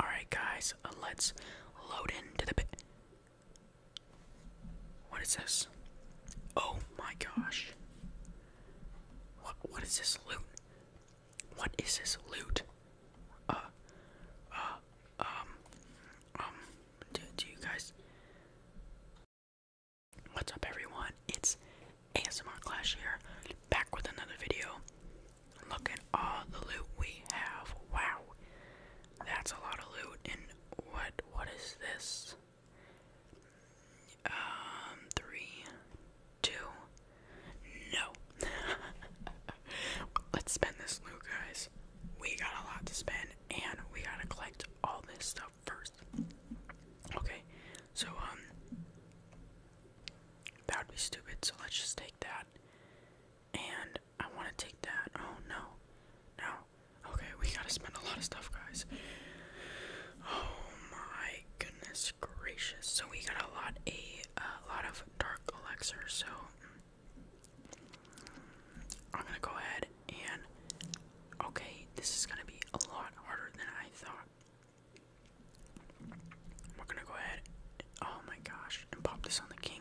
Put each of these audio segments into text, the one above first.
All right, guys, let's load into the. What is this? Oh my gosh! What what is this loot? What is this loot? Uh, uh, um, um. Do, do you guys? What's up, everyone? It's ASMR Clash here, back with another video. Look at all the loot we have. Wow. That's a lot of loot. And what what is this? Um three two no Let's spend this loot guys. We got a lot to spend and we gotta collect all this stuff first. Okay, so um that would be stupid, so let's just take that. And I want to take that. Oh no, no. Okay, we gotta spend a lot of stuff, guys. Oh my goodness gracious! So we got a lot, a, lot of dark elixir. So I'm gonna go ahead and. Okay, this is gonna be a lot harder than I thought. We're gonna go ahead. oh my gosh! And pop this on the king.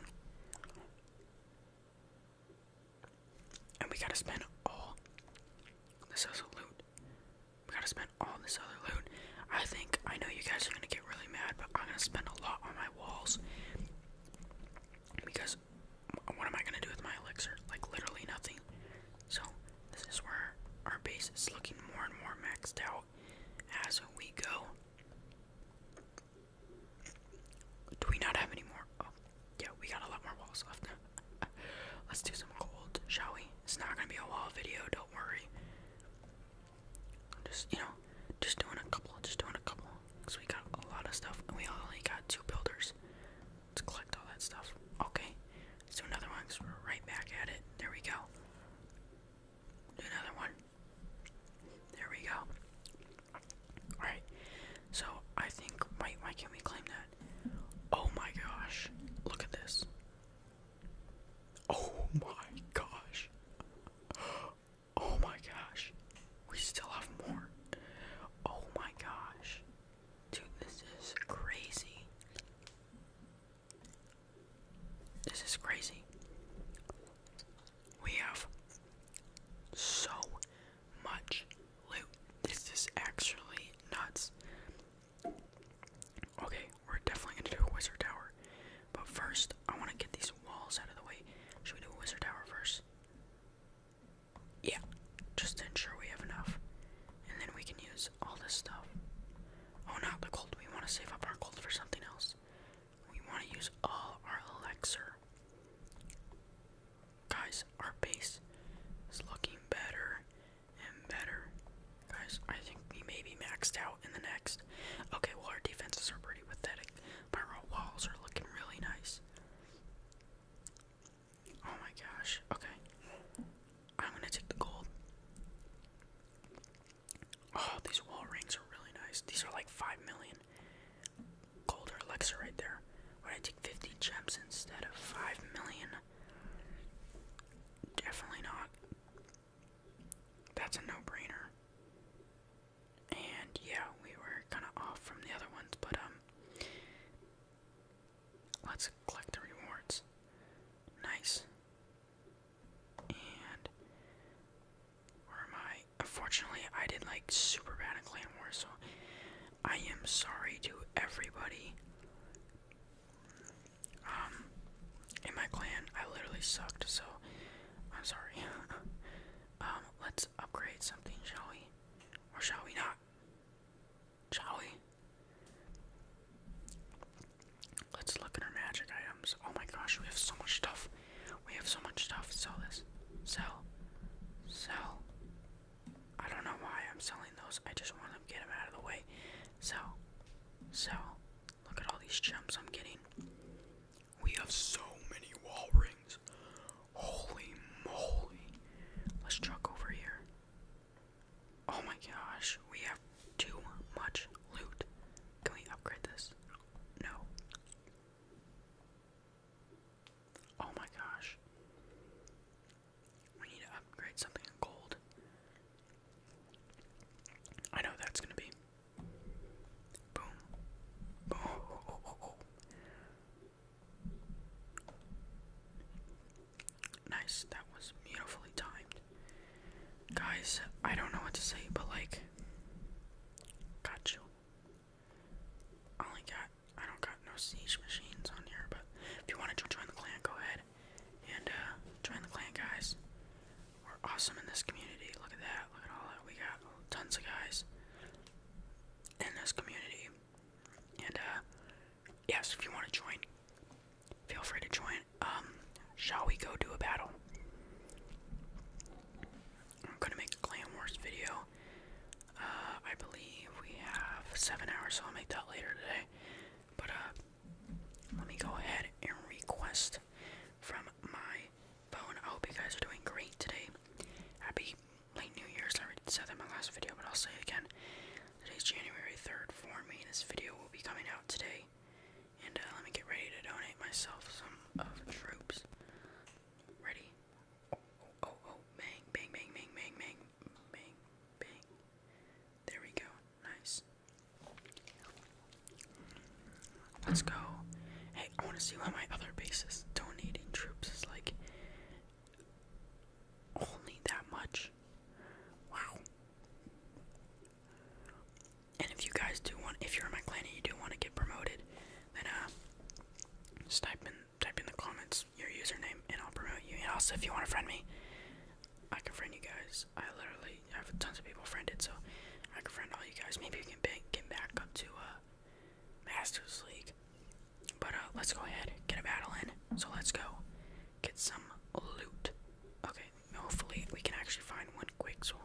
And we gotta spend all this other loot. We gotta spend all this other loot. I think I know you guys are gonna get really mad, but I'm gonna spend a lot on my walls because what am I gonna do with my elixir? Like literally nothing. So this is where our base is looking more and more maxed out as we go. Do we not have any more? Oh, yeah, we got a lot more walls left. Let's do some gold, shall we? It's not gonna be a wall video, don't worry. Just you know, just doing a couple, just doing a couple, cause we got a lot of stuff, and we only got two builders. Let's collect all that stuff. Okay, let do another one, cause we're right back at it. There we go. another one. There we go. Alright, so I think, wait, why can we claim that? Oh my gosh, look at this. Oh my gosh. Oh my gosh. We still have more. Oh my gosh. Dude, this is crazy. This is crazy. We have so much loot. This is actually nuts. Okay, we're definitely gonna do a wizard tower. But first, I wanna get these walls out of the way. Should we do a wizard tower first? Yeah, just to ensure we have enough. And then we can use all this stuff. Oh, not the gold. We wanna save up our gold for something else. We want to use all our elixir. Guys, our base is looking better and better. Guys, I think we may be maxed out in the next. Okay, well, our defenses are pretty pathetic, but our walls are looking really nice. Oh my gosh, okay. I'm gonna take the gold. Oh, these wall rings are really nice. These are like 5 million. Gold or Alexa right there. Would I take 50 gems instead of 5 million? Definitely not. That's a no brainer. And yeah, we were kind of off from the other ones, but um. Let's collect the rewards. Nice. And where am I? Unfortunately, I did like super bad in Clan War, so I am sorry to everybody. Um, in my clan, I literally sucked, so I'm sorry. um, let's upgrade something, shall we? Or shall we not? Shall we? Let's look at our magic items. Oh my gosh, we have so much stuff. We have so much stuff. Sell this. Sell. Sell. I don't know why I'm selling those. I just want to get them out of the way. Sell. Sell. Look at all these gems I'm getting. We have so many wall rings. Holy moly. Let's truck over here. Oh my gosh, we have too much loot. Can we upgrade this? No. Oh my gosh. We need to upgrade something gold. I know that's gonna be. Boom. Nice. That was beautifully timed. Guys, I don't know what to say, but like, got you. I only got, I don't got no siege machines on here, but if you wanted to join the clan, go ahead and uh, join the clan, guys. We're awesome in this community. Look at that. Look at all that. We got tons of guys in this community. And, uh, yes, if you want to join, Feel free to join. Um, shall we go do a battle? I'm gonna make a Clan Wars video. Uh, I believe we have seven hours, so I'll make that later today. But uh, let me go ahead and request from my phone. I hope you guys are doing great today. Happy late New Year's. I already said that in my last video, but I'll say again. Today's January 3rd for me. This video will be coming out today. And uh, let me get ready to donate myself some uh, troops. Ready? Oh, oh, oh, Bang, bang, bang, bang, bang, bang, bang, There we go. Nice. Let's go. Hey, I want to see what my other base is donating troops is like only that much. Wow. And if you guys do want, if you're in my clan and you do want to get promoted, then uh, just type in, type in the comments your username and I'll promote you. And also, if you want to friend me, I can friend you guys. I literally have tons of people friended, so I can friend all you guys. Maybe you can get back up to uh, Masters League. But uh, let's go ahead, get a battle in. So let's go get some loot. Okay, Hopefully, we can actually find one quick. So,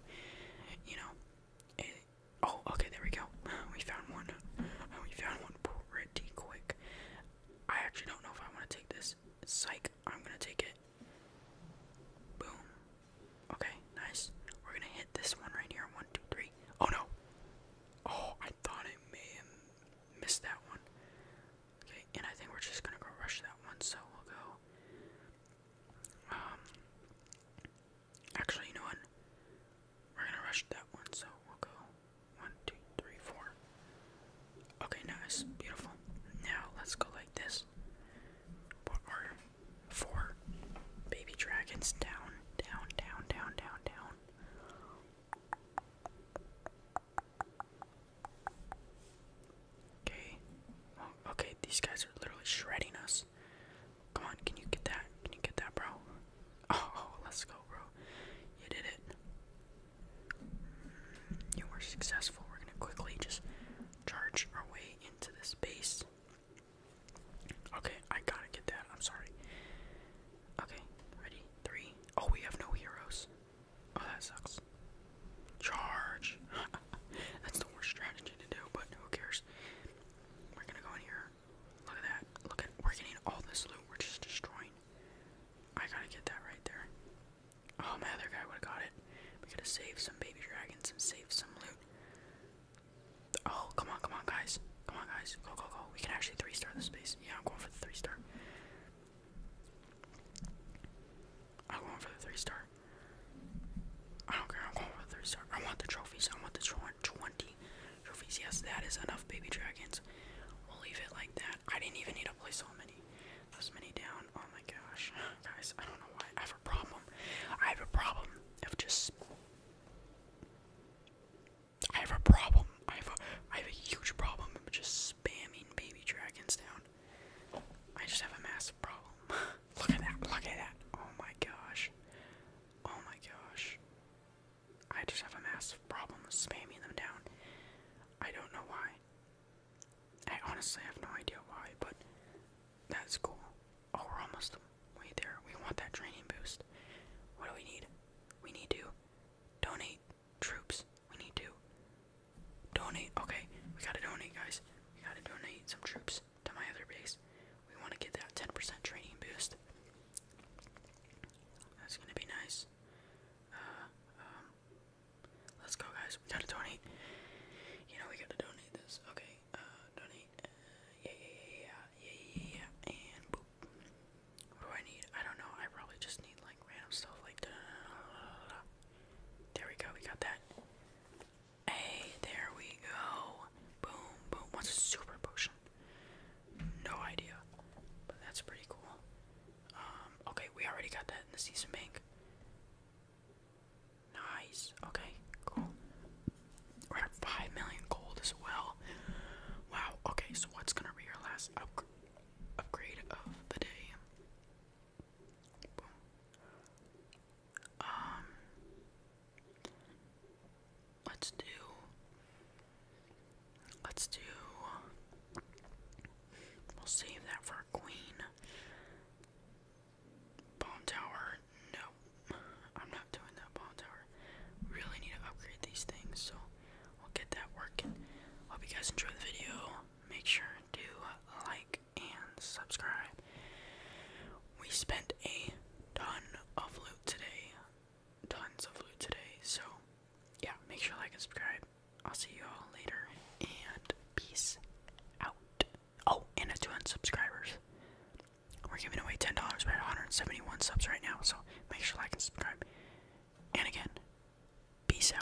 you know, eh, oh, okay, there we go. We found one. Oh, we found one pretty quick. I actually don't know if I want to take this. Psych, I'm gonna take it. Boom. Okay, nice. We're gonna hit this one right here. One, two, three. Oh no. Oh, I thought I may have missed that one. Okay, and I think we're just gonna go rush that one, so we'll go. Um, actually, you know We're gonna rush that one, so we'll go one, two, three, four. Okay, nice, beautiful. Now let's go like this. Put four baby dragons down, down, down, down, down, down. Okay. Oh, okay, these guys are literally shredding us. Come on, can you get that? Can you get that, bro? oh let's go, bro. You did it. You were successful. We're gonna quickly just charge our way into this base. Okay, I gotta get that. I'm sorry. Okay, ready? Three. Oh, we have no heroes. Oh, that sucks. Charge. That's the worst strategy to do, but who cares? We're gonna go in here. Look at that. Look at we're getting all this loot. We're just destroying. I gotta get that right there. Oh, my other guy would have got it. We gotta save some baby dragons and save some loot. Oh, come on, come on, guys. Come on, guys. Go, go, go. We can actually three star this base. Yeah, I'm going for the three star. I'm going for the three star. I don't care. I'm going for the three star. I want the trophies. I want the twenty trophies. Yes, that is enough, baby dragons. We'll leave it like that. I didn't even need to play so many. Those many down. Oh my gosh, guys! I don't know why I have a problem. I have a problem of just. I have a problem. I have a I have a huge problem of just spamming baby dragons down. I just have a massive problem. look at that, look at that. Oh my gosh. Oh my gosh. I just have a massive problem spamming them down. I don't know why. I honestly have no idea why, but that's cool. Oh, we're almost there. We want that training boost. What do we need? We need to donate troops we need to donate. Okay, we gotta donate, guys. We gotta donate some troops to my other base. We want to get that 10% training boost. That's gonna be nice. Uh, um, let's go, guys. We gotta donate. You know, we gotta donate this. Okay, uh, donate. Uh, yeah, yeah, yeah, yeah, yeah, yeah, and boop. What do I need? I don't know. I probably just need like random stuff like there we go, we got that. Hey, there we go. Boom, boom. What's a super potion? No idea. But that's pretty cool. Um, okay, we already got that in the season bank. Nice. Okay, cool. We're at 5 million gold as well. Wow, okay, so what's gonna be our last upgrade of the day? Um, let's do let's do we'll save that for queen. Bomb tower, no. I'm not doing that bomb tower. Really need to upgrade these things, so we'll get that working. Hope you guys enjoy the video make sure to like and subscribe. We spent a ton of loot today. Tons of loot today. So, yeah, make sure like and subscribe. I'll see you all later and peace out. Oh, and a 200 subscribers. We're giving away $10. dollars we 171 subs right now, so make sure to like and subscribe. And again, peace out.